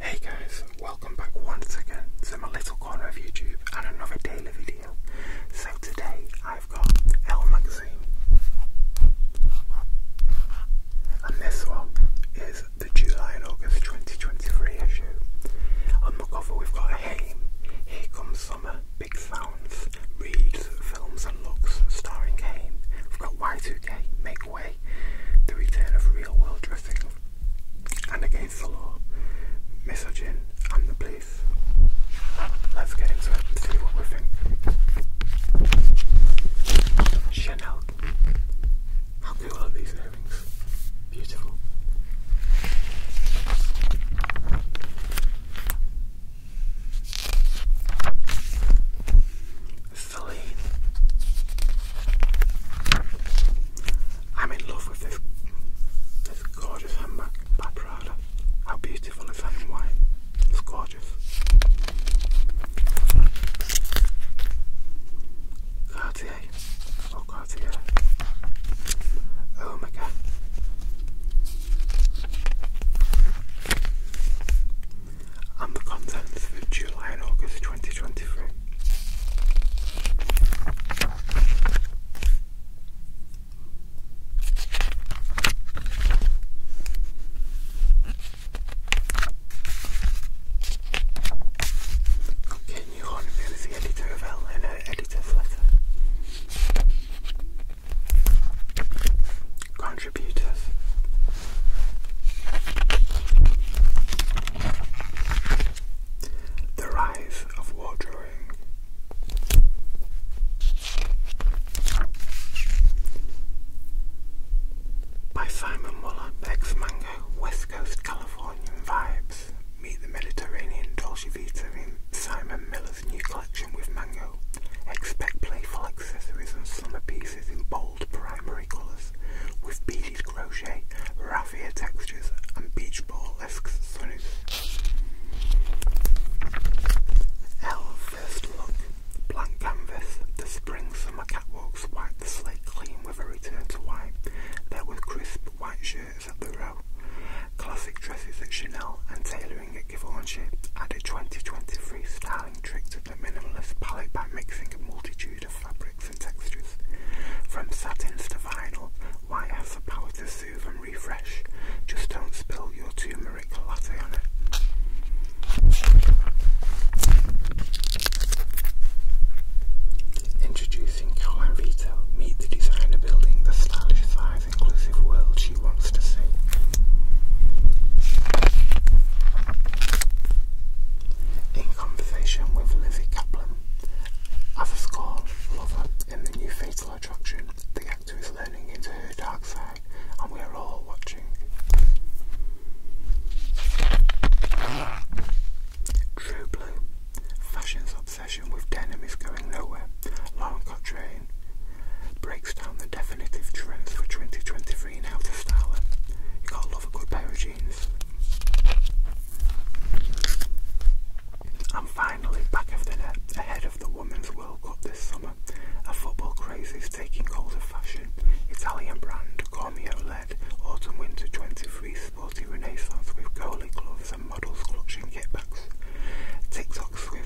Hey guys, welcome back once again to my little corner of YouTube and another daily video. So today I've got Elle magazine, and this one is the July and August 2023 issue. On the cover we've got a Haim, Here Comes Summer, big sounds, reads, films and looks, starring Kane. We've got Y2K, Make Way, The Return of Real World Dressing, and Against the Law, Misogyn and the Police. Let's get into it and see what we think. Chanel. How cool are these earrings? Beautiful. Philly. I'm in love with this this gorgeous handbag by Prada. How beautiful is in white? It's gorgeous. Cartier. Oh Cartier. Oh my god and the contents for July and August 2023. Ken Yuhan, who is the editor of Elle her editor's letter contributors. The rise of war drawing. By Simon Muller, ex West Coast Californian Vibes. Meet the Mediterranean Dolce Vita in Simon Miller's new collection with mango. Expect playful accessories and summer pieces in bold primary colours, with beaded crochet, raffia textures and beach ball-esque sunnies. L First Look Blank Canvas The spring-summer catwalks wiped the slate clean with a return to white. There were crisp white shirts at the row, classic dresses at Chanel and Taylor Following a Givaudan shift, 2023 styling trick to the minimalist palette by mixing a multitude of fabrics and textures. From satins to vinyl, white has the power to soothe and refresh. Just don't spill your turmeric latte on it. Introducing Calan Vito, meet the designer building the stylish side she wants to see. In conversation with Lizzie Kaplan, as lover in the new Fatal Attraction, the actor is learning into her dark side, and we are all watching. True Blue. Fashion's obsession with denim is going nowhere. Lauren Cotre breaks down the definitive trends for 2023 in outer styling. You gotta love a good pair of jeans. And finally, back of the net, ahead of the Women's World Cup this summer, a football craze is taking hold of fashion. Italian brand Cormio led autumn winter 23 sporty renaissance with goalie gloves and models clutching kitbacks. TikTok swiftly,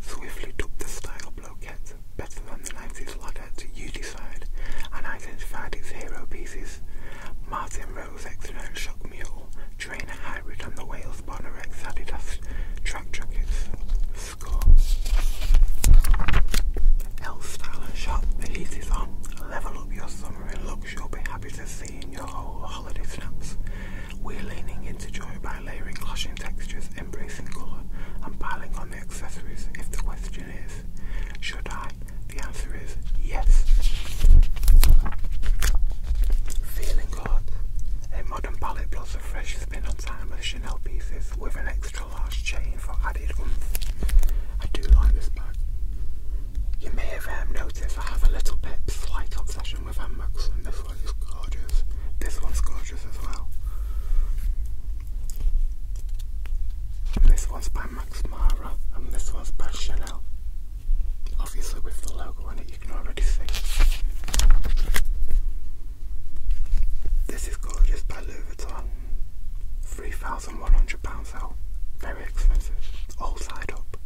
swiftly took the style of bloquettes better than the 90s latter to decide, and identified its hero pieces. Martin Rose External Shock Mule, Trainer Hybrid and the Wales Bonarex Adidas Track Jackets. Score. L Style and Shop, the heat is on. Level up your summer looks, you'll be happy to see in your holiday snaps. We're leaning into joy by by layering clashing textures, embracing colour, and piling on the accessories if the question is, should I? The answer is yes. Feeling good. A modern palette plus a fresh spin on timeless Chanel pieces with an extra large chain for added oomph. I do like this bag. You may have um, noticed I have a little bit slight obsession this one gorgeous. This one's gorgeous as well. this one's by Max Mara, and this one's by Chanel. Obviously, with the logo on it, you can already see. This is gorgeous by Louis Vuitton. £3,100 out. Very expensive. All side up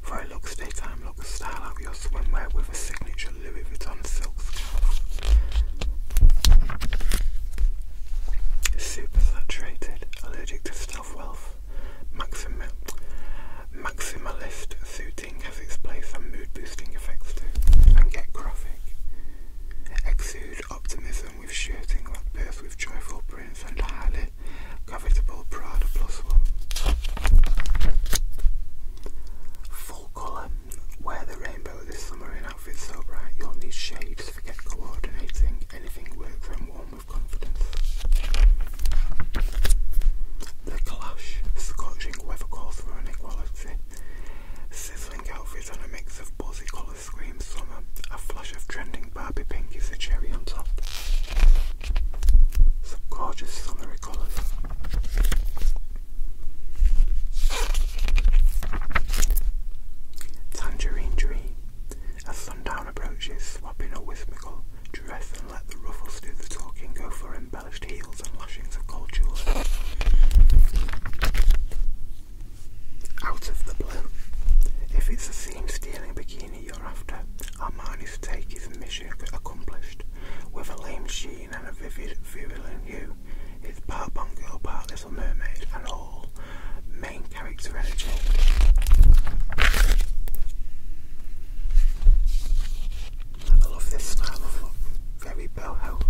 for a look, stay time look, style out your swimwear with a signature Louis Vuitton silk scarf. Super saturated, allergic to stealth wealth, Maxim maximalist suiting has its place and mood boosting effects too. And get graphic. Exude optimism with shirting that bursts with joyful prints and highly covetable Prada plus one. Full colour. Wear the rainbow this summer in outfits so bright you'll need shades. Forget coordinating. Anything works when worn with confidence. The Clash. Scorching weather calls for an equality. Sizzling outfits and a mix of buzzy colours scream summer. A flush of trending Barbie pink is the cherry on top. Some gorgeous summery colours. Tangerine Dream. As sundown approaches, swap in a whimsical dress and let the ruffles do the talking. Go for embellished heels and lashings of gold jewellery. Out of the blue. If it's a scene stealing bikini you're after, Armani's take is mission accomplished with a lame sheen and a vivid, virulent hue. It's part Bond Girl, part Little Mermaid, and all main character energy. I love this style of look, very boho.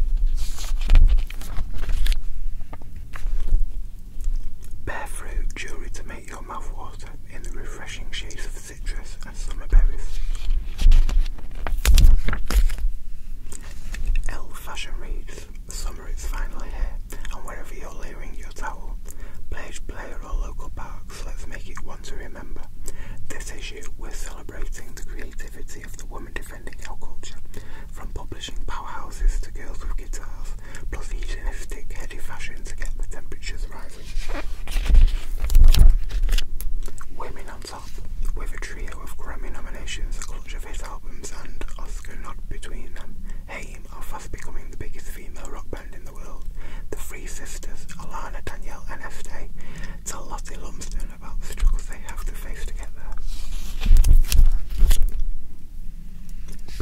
Bare fruit jewellery to make your mouth water in the refreshing shades of citrus, and summer berries. fashion reads, summer is finally here, and wherever you're layering your towel, pledge player or local parks, let's make it one to remember. This issue, we're celebrating the creativity of the woman defending our culture, from publishing powerhouses to girls with guitars, plus hedonistic, heady fashion to get the temperatures rising. Women on Top, with a trio of Grammy nominations, a clutch of hit albums, and Oscar nod between them, AIM are fast becoming the biggest female rock band in the world. The three sisters, Alana, Danielle, and Estee, tell Lottie Lumsden about the struggles they have to face to get there.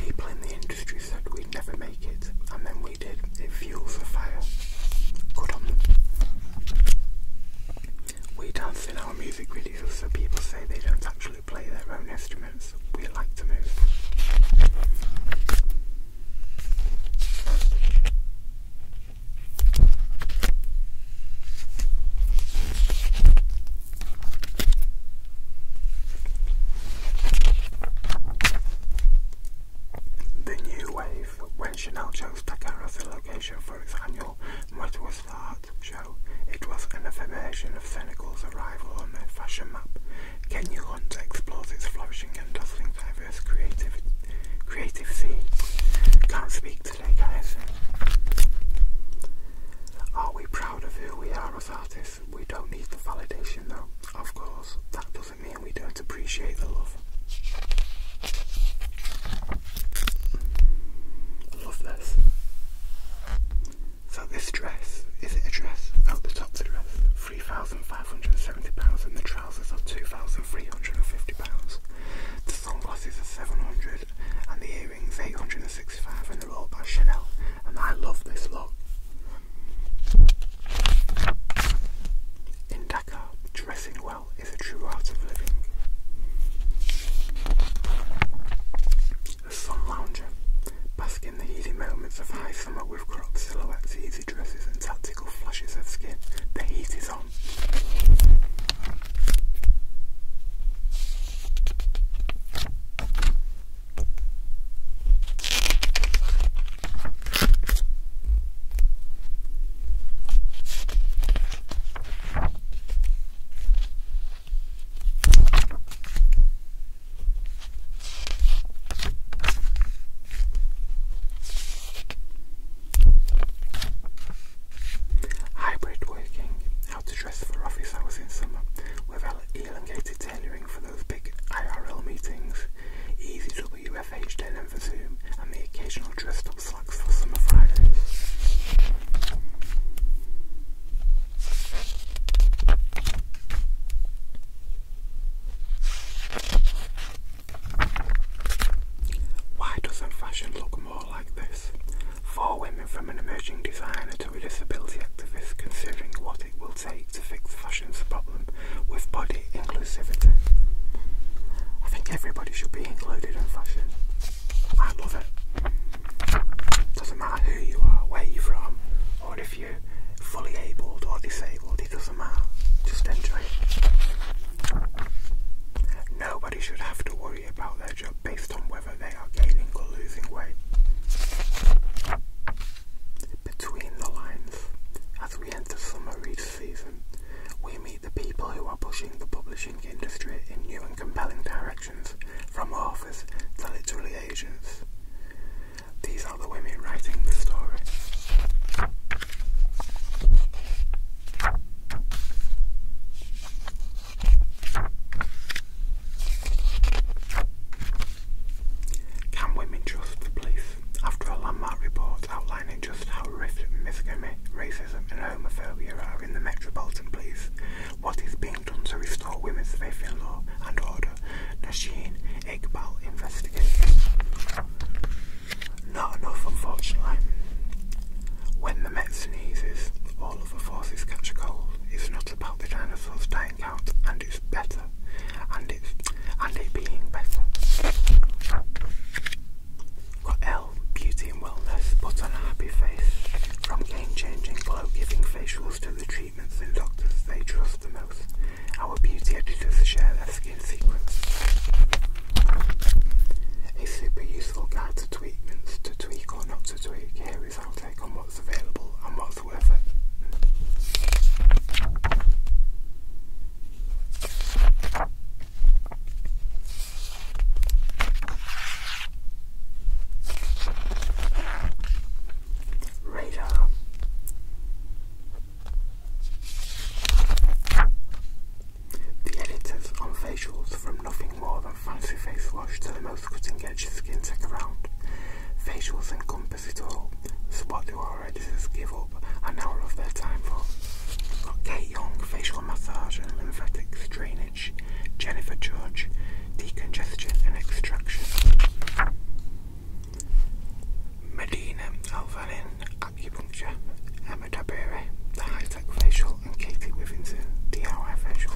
People in the industry said we'd never make it, and then we we It fuels the fire. Good on We dance in our music videos, so people say they don't actually play their own instruments. We like to move. The new wave belief when Chanel chose Dakar as the location for its annual Modest Art show, it was an affirmation of Senegal's arrival on the fashion map. Kenya Hunt explores its flourishing and dazzling diverse creative, creative scene. Can't speak today, guys. Are we proud of who we are as artists? We don't need the validation, though. Of course, that doesn't I mean, we don't appreciate the love. love this. So this dress, is it a dress? Oh, the top's a dress. £3,570 and the trousers are £2,350. The sunglasses are 700 and the earrings 865 and they're all by Chanel. And I love this look. In Dakar, Dressing well is a true art of living. The Sun Lounger. Bask in the easy moments of high summer with crop silhouettes, easy dresses, and tactical flashes of skin. The heat is on. Hybrid working, how to dress for office hours in summer with elongated tailoring for those big IRL meetings, easy to WFH Denham for Zoom and the occasional dressed up slacks for Summer Fridays. Why doesn't fashion look more like this? Four women from an emerging designer to a disability activist considering what it will take to fix fashion's problem with body inclusivity. I think everybody should be included in fashion. I love it. Doesn't matter who you are, where you're from, or if you're fully abled or disabled, it doesn't matter. Just enjoy it. Nobody should have to worry about their job based on whether they are gaining or losing weight. Between the lines, as we enter summer, read season, we meet the people who are pushing the publishing industry in new and compelling directions, from authors to literary agents. These are the women writing the story. Can women trust the police? after a landmark report outlining just how horrific racism and homophobia are in the Metropolitan Police, what is being done to restore women's safety, in law and order, Nasheen Iqbal investigates. Not enough, unfortunately. When the Met sneezes, all of the forces catch a cold. It's not about the dinosaurs dying out, and it's better and it and it being better. Got L Beauty and Wellness Put on a Happy Face. From game changing glow giving facials to the treatments and doctors they trust the most. Our beauty editors share their skin secrets. A super useful guide to treatments to tweak or not to tweak. Here is our take on what's available and what's worth it. Radar. The editors on facials from nothing more than fancy face wash to the most cutting edge skin tech around. Facials encompass but it's all spot the artists give up an hour of their time for. Kate Young, facial massage and lymphatics drainage. Jennifer Judge, decongestion and extraction. Medina Alvanin, acupuncture. Emma Dabere, the high tech facial, and Katie Withington, DIY facial.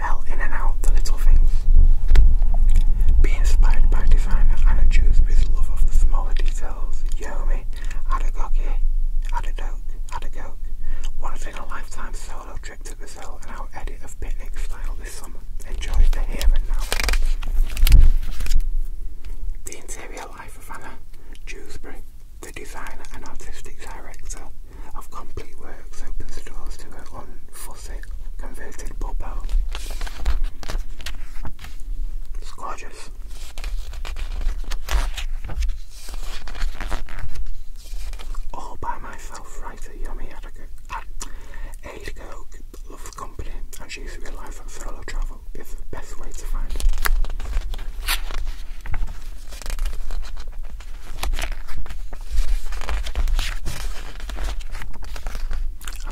L in and out, the little things. Be inspired by designer Anna Jewsby's love of the smaller details. Yomi, Adagoki, Adadoke, Adagoke. Once in a lifetime solo trip to Brazil and our edit of Picnic Style this summer. Enjoy the here now. The interior life of Anna Jewsbury, the designer and artistic director of Complete Works, opens doors to her own Converted converte ele It's gorgeous. All by myself, writer Yummy had ah, a, girl loves company and she's realised that solo travel is the best way to find it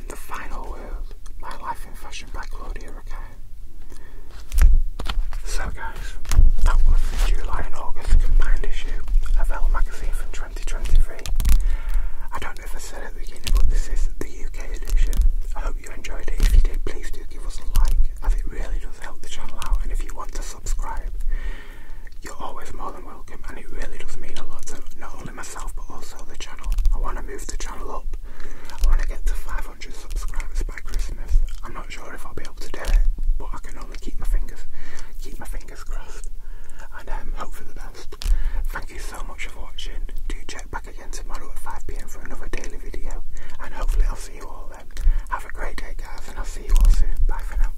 and The Final World, My Life in Fashion by Claudia Rackine. So guys, that was the July and August combined issue of Elle magazine from 2023. I don't know if I said at the beginning, but this is the UK edition. I hope you enjoyed it. If you did, please do give us a like, as it really does help the channel out. And if you want to subscribe, you're always more than welcome, and it really does mean a lot to not myself but also the channel. I want to move the channel up. I want to get to 500 subscribers by Christmas. I'm not sure if I'll be able to do it, but I can only keep my fingers keep my fingers crossed and um, hope for the best. Thank you so much for watching. Do check back again tomorrow at 5 pm for another daily video and hopefully I'll see you all then. Have a great day guys and I'll see you all soon. Bye for now.